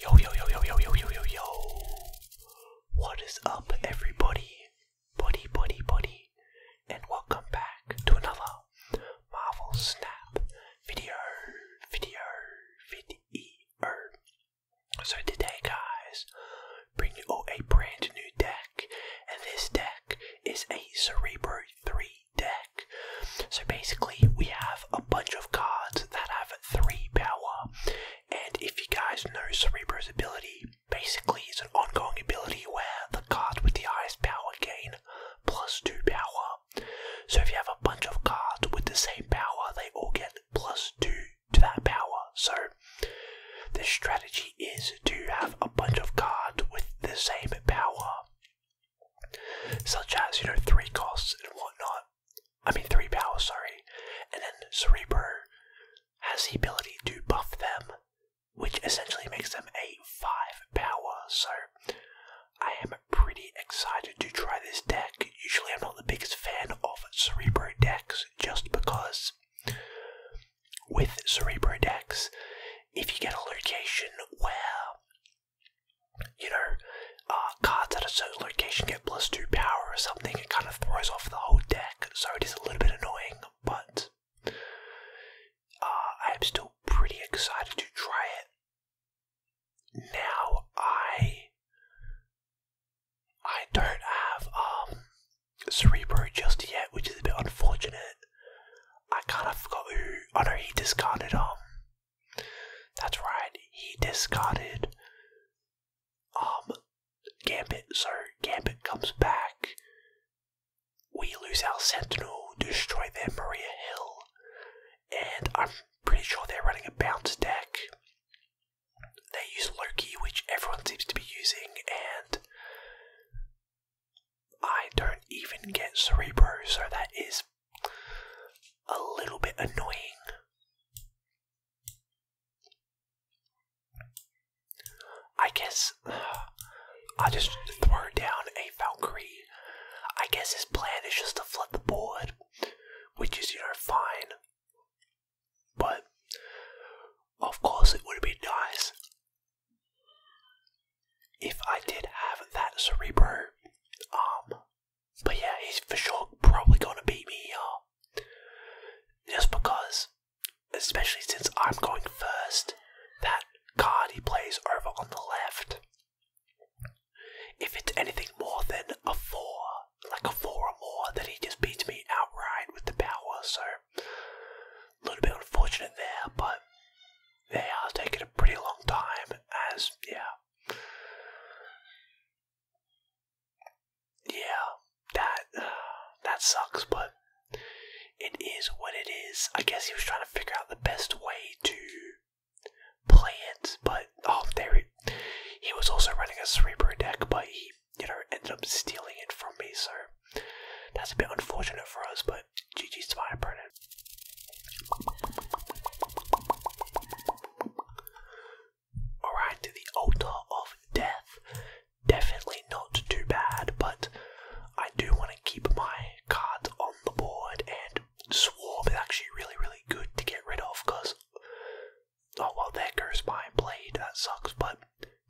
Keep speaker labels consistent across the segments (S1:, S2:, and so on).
S1: Yo, yo, yo, yo, yo, yo, yo, yo, yo. What is up, everybody? Buddy, buddy, buddy. And welcome back to another Marvel Snap video, video, video. So today, guys, bring you all a brand new deck. And this deck is a Cerebro 3 deck. So basically, we have a bunch of cards that have 3 power. And if you guys know Cerebro's ability, basically it's an ongoing ability where the card with the highest power gain plus 2 power. So if you have a bunch of cards with the same power, they all get plus 2 to that power. So the strategy is to have a bunch of cards with the same power. Such as, you know, three costs and whatnot, I mean three powers, sorry. And then Cerebro has the ability to buff them, which essentially makes them a five power. So I am pretty excited to try this deck. Usually I'm not the biggest fan of Cerebro decks just because with Cerebro decks, if you get a location well you know, uh, cards at a certain location get plus two power or something, it kind of throws off the whole deck, so it is a little bit annoying, but uh, I am still pretty excited to try it. Now, I. I don't have um, Cerebro just yet, which is a bit unfortunate. I kind of forgot who. I oh know he discarded um that's right, he discarded um Gambit, so Gambit comes back. We lose our Sentinel, destroy their Maria Hill, and I'm pretty sure they're running a bounce deck. They use Loki, which everyone seems to be using, and I don't even get Cerebro, so that is a little bit annoying. I guess uh, I'll just throw down a Valkyrie. I guess his plan is just to flood the board, which is, you know, fine. But, of course, it would be nice if I did have that Cerebro um, but yeah, he's for sure probably going to beat me here. Just because, especially since I'm going first, that card he plays over on the left, if it's anything more than a 4, like a 4 or more, that he just beats me outright with the power. So, a little bit unfortunate there, but yeah, I'll take a pretty long time as, yeah, yeah, that that sucks, but it is what it is. I guess he was trying to figure out the best way to play it, but oh, there He was also running a Cerebro deck, but he, you know, ended up stealing it from me, so that's a bit unfortunate for us. But GG's my opponent. Alright, the altar of death. Definitely not too bad, but I do want to keep my cards on the board, and Swarm is actually really, really good to get rid of because. Oh well, there goes my blade, that sucks, but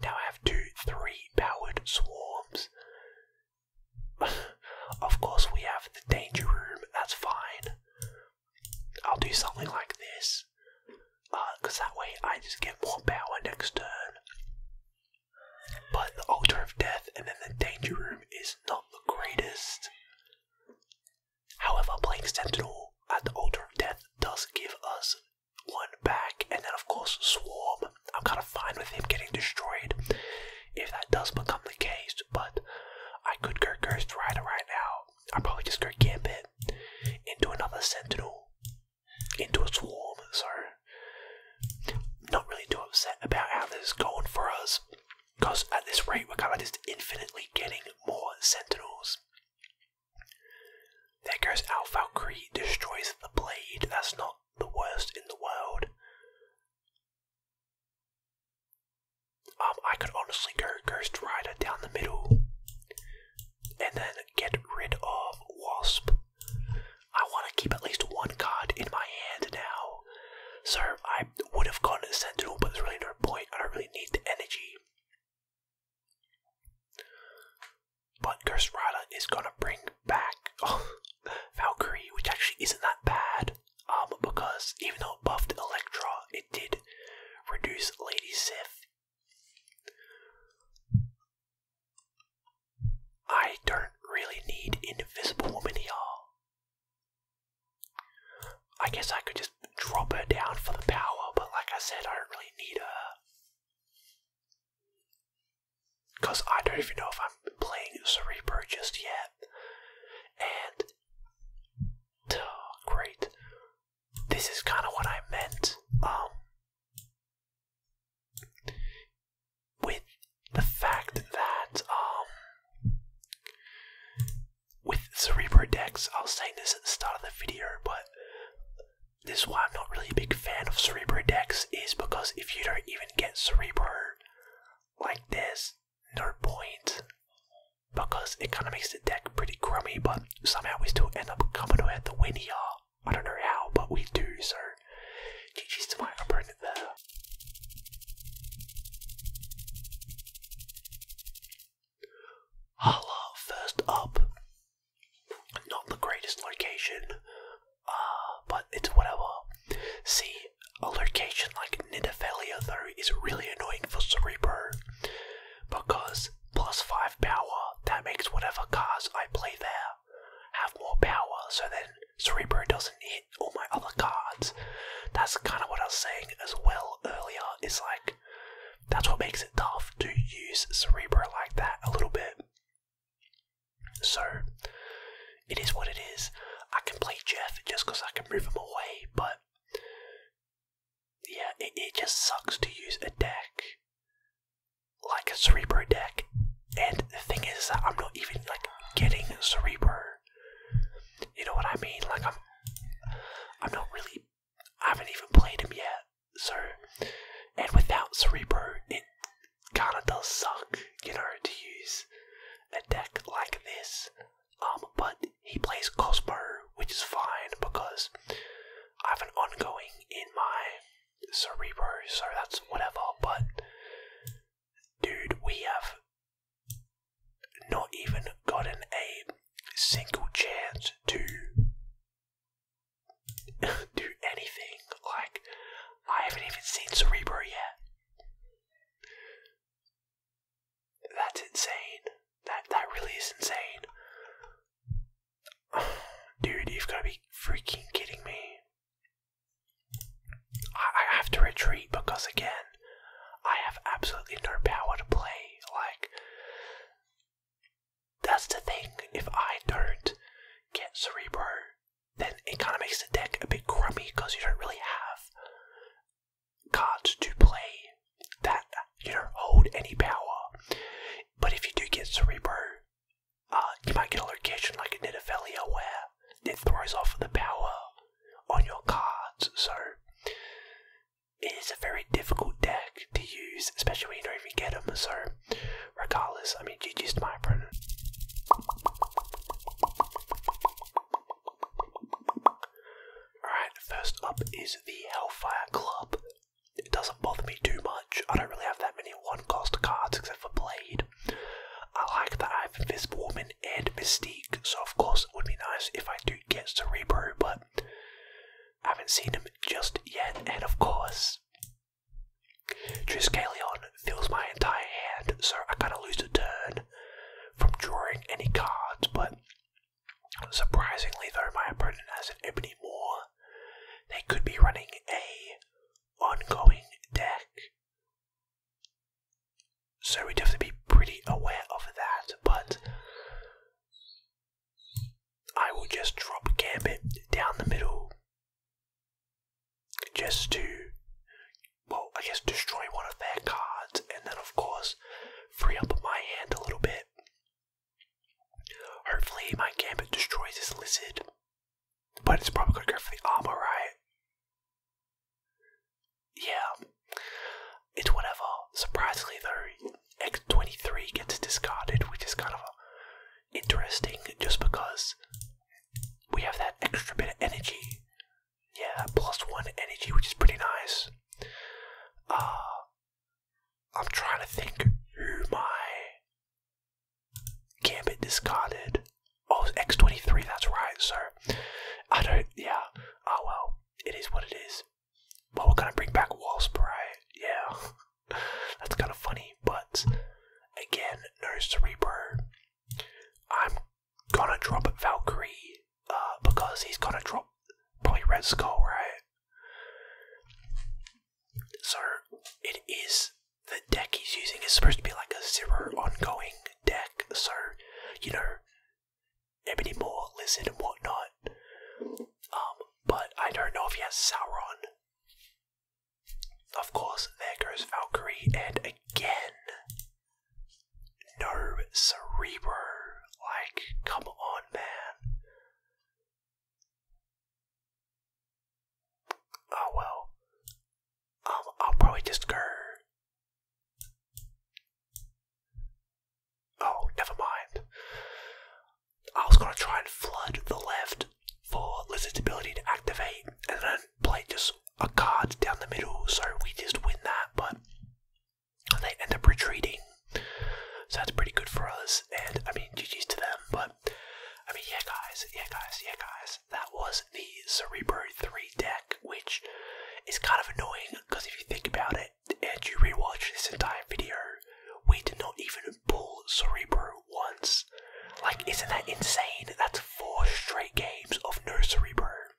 S1: now I have two, three powered swarms. of course, we have the danger room, that's fine. I'll do something like this, because uh, that way I just get more power next turn. But the Altar of Death and then the Danger Room is not the greatest. However, playing Sentinel at the Altar of Death does give us one back, and then of course Swarm. I'm kind of fine with him getting destroyed if that does become the case, but I could go Ghost Rider right now. I'd probably just go it into another Sentinel, into a Swarm, so not really too upset about how this is going for us, because at this rate we're kind of just infinitely getting more Sentinels. There goes Al Valkyrie, destroys the blade, that's not the worst in the world. Um, I could honestly go Ghost Rider down the middle and then get rid of Wasp. I want to keep at least one card in my hand now. So I would have gone Sentinel, but there's really no point. I don't really need the energy. But Ghost Rider is gonna bring back Valkyrie, which actually isn't that bad um, because even though it buffed Electra, it did reduce Lady Sif. I don't really need Invisible Woman y'all. I guess I could just drop her down for the power, but like I said, I don't really need her. Because I don't even know if I'm playing Cerebro just yet. And great. This is kind of what I meant. Um, with the fact that um, with Cerebro decks, I will say this at the start of the video, but this is why I'm not really a big fan of Cerebro decks. Is because if you don't even get Cerebro, like this no point because it kind of makes the deck pretty crummy, but somehow we still end up coming to at the win here. I don't know how, but we do, so GG's to my opponent there. Hala, first up. Not the greatest location, uh, but it's whatever. See, a location like Nidavellir though is really annoying for Cerebro because plus 5 power, that makes whatever cards I play there have more power, so then Cerebro doesn't hit all my other cards. That's kind of what I was saying as well earlier, is like, that's what makes it tough to use Cerebro like that a little bit. So, it is what it is. I can play Jeff just because I can move him away, but yeah, it, just sucks to use a deck like a Cerebro deck. And the thing is I'm not even like getting Cerebro. You know what I mean? Like I'm, I'm not really. I haven't even played him yet. So, and without Cerebro, it kind of does suck. You know, to use a deck like this. Um, but he plays Ghost which is fine because I have an ongoing in my cerebro, so that's whatever. But dude, we have not even gotten a single chance to do anything. Like I haven't even seen Cerebro yet. That's insane. That that really is insane. dude, you've got to be freaking kidding me. I, I have to retreat because again, I have absolutely no power to play. Like that's the thing. If I don't get Cerebro, then it kind of makes the deck a bit crummy because you don't really have cards to play that you not hold any power. But if you do get Cerebro, uh, you might get a location like a Nidavellia where it throws off the power on your cards. So it is a very difficult deck to use, especially when you don't even get them. So regardless, I mean, GG's to my opponent. Alright, first up is the Hellfire Club. It doesn't bother me too much. I don't really have that many one cost cards except for Blade. I like that I have Invisible Woman and Mystique, so of course it would be nice if I do get Cerebro, but I haven't seen him just yet. And of course, Triskelion fills my entire hand, so I kind of lose a turn from drawing any cards, but surprisingly, though my opponent has an Ebony Moore, they could be running a ongoing deck. So we'd have to be pretty aware of that, but I will just drop Gambit down the middle just to well, I guess destroy one of their cards, and then of course free up my hand a little bit. Hopefully, my gambit destroys this lizard, but it's probably gonna go for the armor, right? Yeah, it's whatever. Surprisingly, though, X23 gets discarded, which is kind of uh, interesting just because we have that extra bit of energy yeah, plus one energy, which is pretty nice. Ah, I'm trying to think who my Gambit discarded. Oh, X23, that's right, so I don't, yeah, oh well, it is what it is. But we're gonna bring back Wall right? Yeah, that's kind of funny, but again, no Cerebro. I'm gonna drop Valkyrie uh, because he's gonna drop probably Red Skull, right? So it is the deck he's using is supposed to be like a zero ongoing deck, so you know, Ebony Moore, Lizard, and whatnot. Um, but I don't know if he has Sauron. Of course, there goes Valkyrie, and again, no cerebro. Like, come on, man. Oh well. Um, I'll probably just go. Oh, never mind. I was gonna try and flood the left for lizard's ability to activate, and then Play just a card down the middle, so we just win that, but they end up retreating. So that's pretty good for us, and I mean, GG's to them, but I mean, yeah, guys, yeah, guys, yeah, guys, that was the Cerebro 3 deck, which is kind of annoying because if you think about it and you rewatch this entire video, we did not even pull Cerebro once. Like, isn't that insane? That's four straight games of Nursery Bro